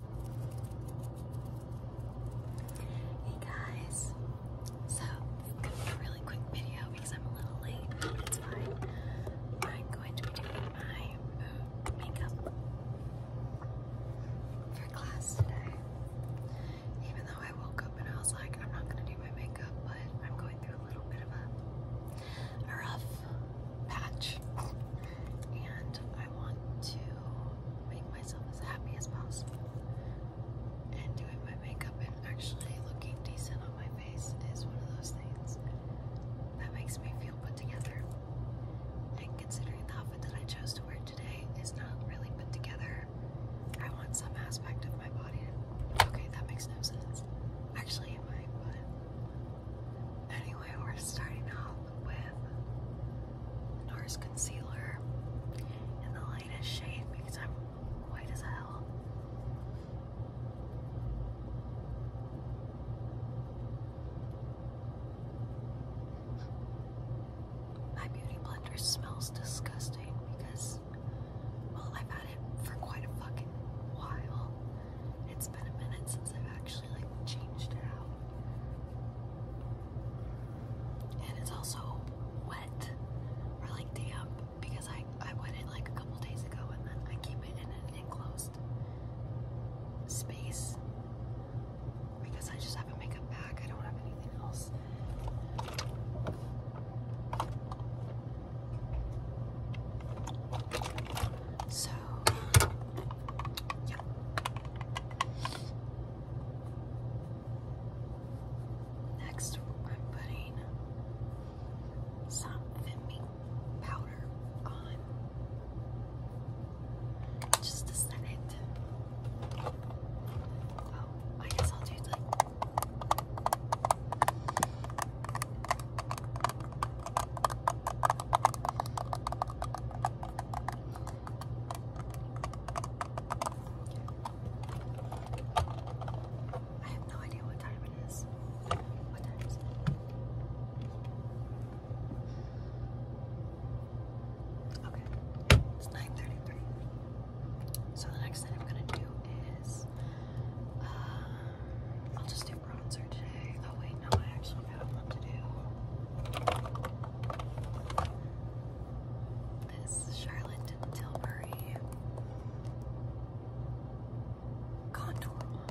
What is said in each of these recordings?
Hey guys, so it's gonna be a really quick video because I'm a little late, but fine. I'm going to be doing my uh, makeup for class today. Even though I woke up and I was like, I'm not gonna do my makeup, but I'm going through a little bit of a rough patch and I want to make myself as happy as possible. And doing my makeup and actually looking decent on my face is one of those things that makes me feel put together. And considering the outfit that I chose to wear today is not really put together, I want some aspect of my body. okay, that makes no sense. Actually, it might, Anyway, we're starting off with NARS concealer in the lightest shade because I'm white as hell. My beauty blender smells disgusting because, well, I've had it for quite a fucking while. It's it's been a minute since I've actually like changed it out. And it's also wet or like damp because I I wet it like a couple days ago and then I keep it in an enclosed space because I just have a makeup bag. I don't have anything else. So Next, I'm putting some Fit powder on. Just to set it. Oh, I guess I'll do like I have no idea what time it is. What time is it? Okay, it's 9.33. So the next thing I'm gonna do is, uh, I'll just do a bronzer today. Oh wait, no, I actually got what to do. This is Charlotte Tilbury contour wand.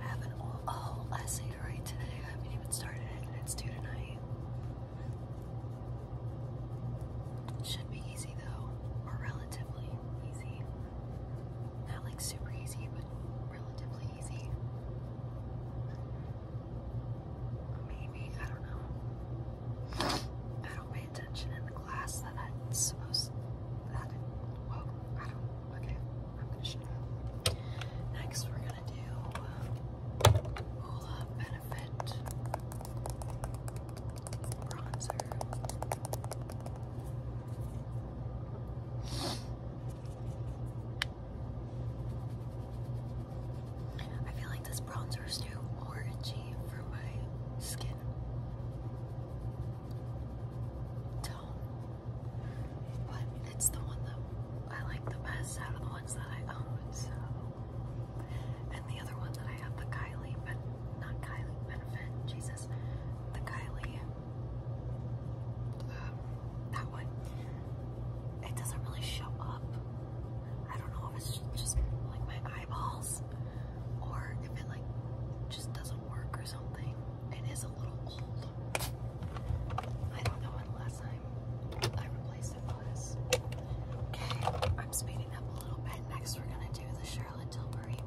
I have an whole essay to write I haven't even started it, and it's due tonight. Should be easy though, or relatively easy. Not like super easy, but relatively easy. Maybe, I don't know. I don't pay attention in class that it's supposed that I don't okay, I'm gonna shut up. Next we're gonna do um, benefit bronzer. I feel like this bronzer is too orangey for my skin tone, but it's the one that I like the best out of the ones that I own. So, and the other one that I have, the Kylie, but not Kylie Benefit, Jesus, the Kylie. Um, that one it doesn't really show up. I don't know if it's just like my eyeballs or if it like just doesn't work or something. It is a little old. I don't know when last time I replaced it was. Okay, I'm speeding up a little bit. Next we're gonna do the Charlotte Tilbury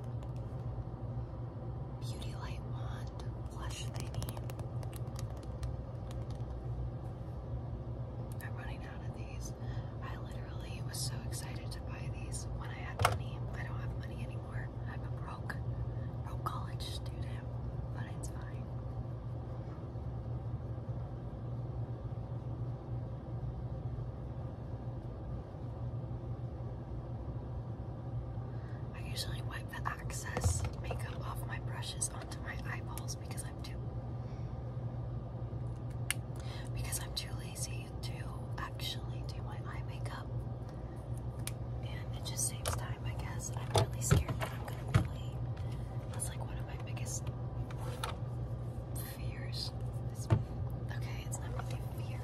Beauty Light Wand Blush I'm running out of these. I literally was so excited to buy these when I had money. I don't have money anymore. I'm a broke, broke college student, but it's fine. I usually wipe the access makeup off my brushes onto my eyeballs because I'm too because I'm too lazy to actually do my eye makeup. And it just saves time, I guess. I'm really scared that I'm gonna be late. That's like one of my biggest fears. okay, it's not really fear.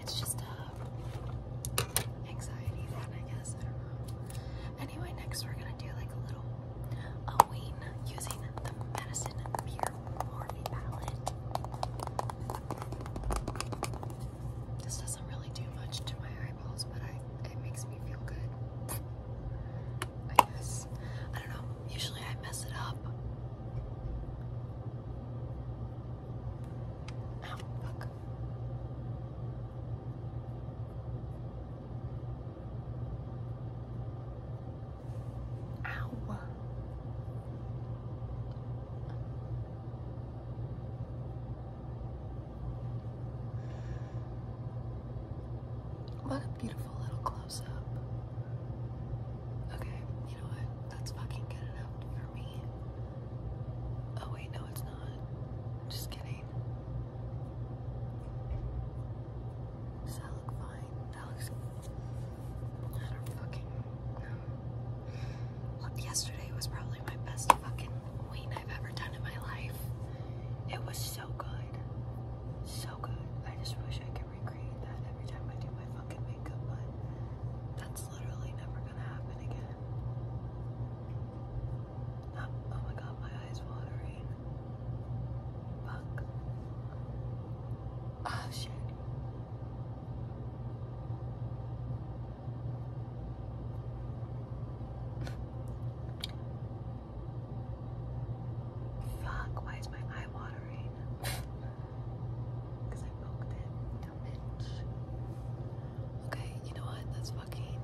It's just uh, anxiety I don't know. Anyway, next we're gonna do like a little a using the Medicine Pure Morphe palette. This doesn't really do much to my eyeballs, but it makes me feel good. I guess. I don't know. Usually I mess it up. Ow. What a beautiful little close up. Okay, you know what? That's fucking good enough for me. Oh wait, no it's not. Just kidding. Does that look fine? That looks I don't fucking know. yesterday was probably my best fucking ween I've ever done in my life. It was so good. So good. I just wish I could recreate that every time I do my fucking makeup, but that's literally never gonna happen again. Oh, oh, my god, my eyes watering. Fuck. Oh shit. Fuck, why is my eye watering? Because I poked it. Okay, you know what? That's fucking.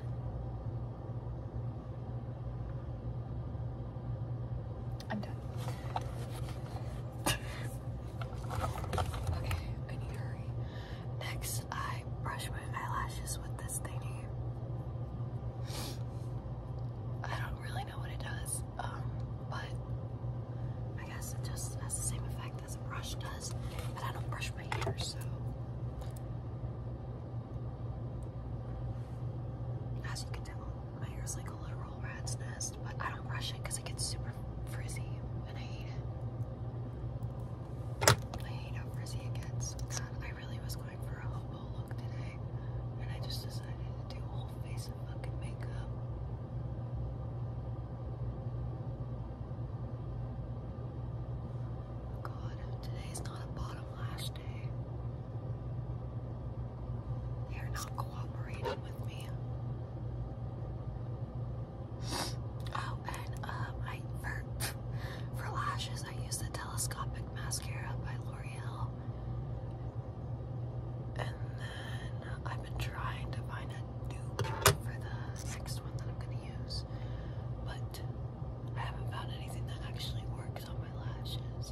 I'm done. okay, I need to hurry. Next, I brush my eyelashes with this thingy. I don't really know what it does, um, but I guess it just has the same effect as a brush does but I don't brush my hair, so as you can tell, my hair is like a literal rat's nest, but I don't brush it because it gets super frizzy, and I hate it. I hate how frizzy it gets. I really was going for a hobo look today, and I just decided to do a whole face of fucking makeup. God, today's not a bottom lash day. They're not cooperating with me. Oh, and um, for for lashes I use the telescopic mascara by L'Oreal, and then I've been trying to find a dupe for the next one that I'm gonna use, but I haven't found anything that actually works on my lashes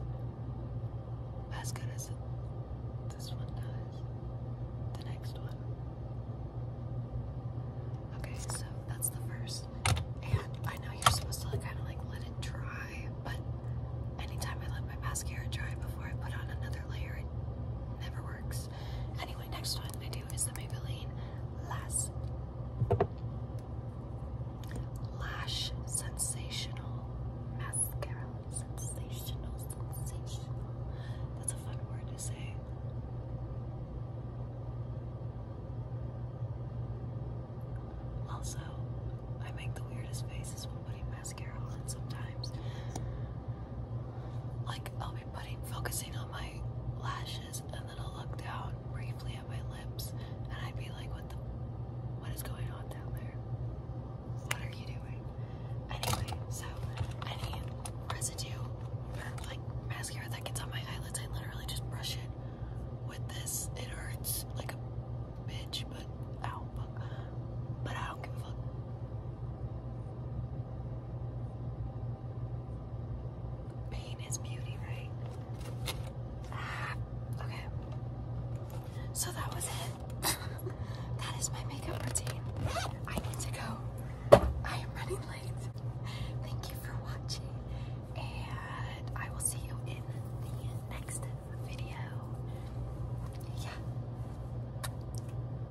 as good as this one does. The next one. Okay, so that's the first. And I know you're supposed to kind of like let it dry, but anytime I let my mascara dry before I put on another layer, it never works. Anyway, next one. I is the Maybelline Lash, Sensational Mascara. That's a fun word to say. Also, I make the weirdest faces when putting mascara on sometimes. Like, I'll be putting, focusing on my lashes, and then I'll look down briefly at my lips, and I'd be like, what the, what is going on down there? What are you doing? Anyway, so any residue or like mascara that gets on my eyelids, I literally just brush it with this. It hurts like a bitch, but ow, but I don't give a fuck. Pain is beauty, right? Ah, okay. So that was it. that is my makeup routine. I need to go. I am running late. Thank you for watching, and I will see you in the next video. Yeah.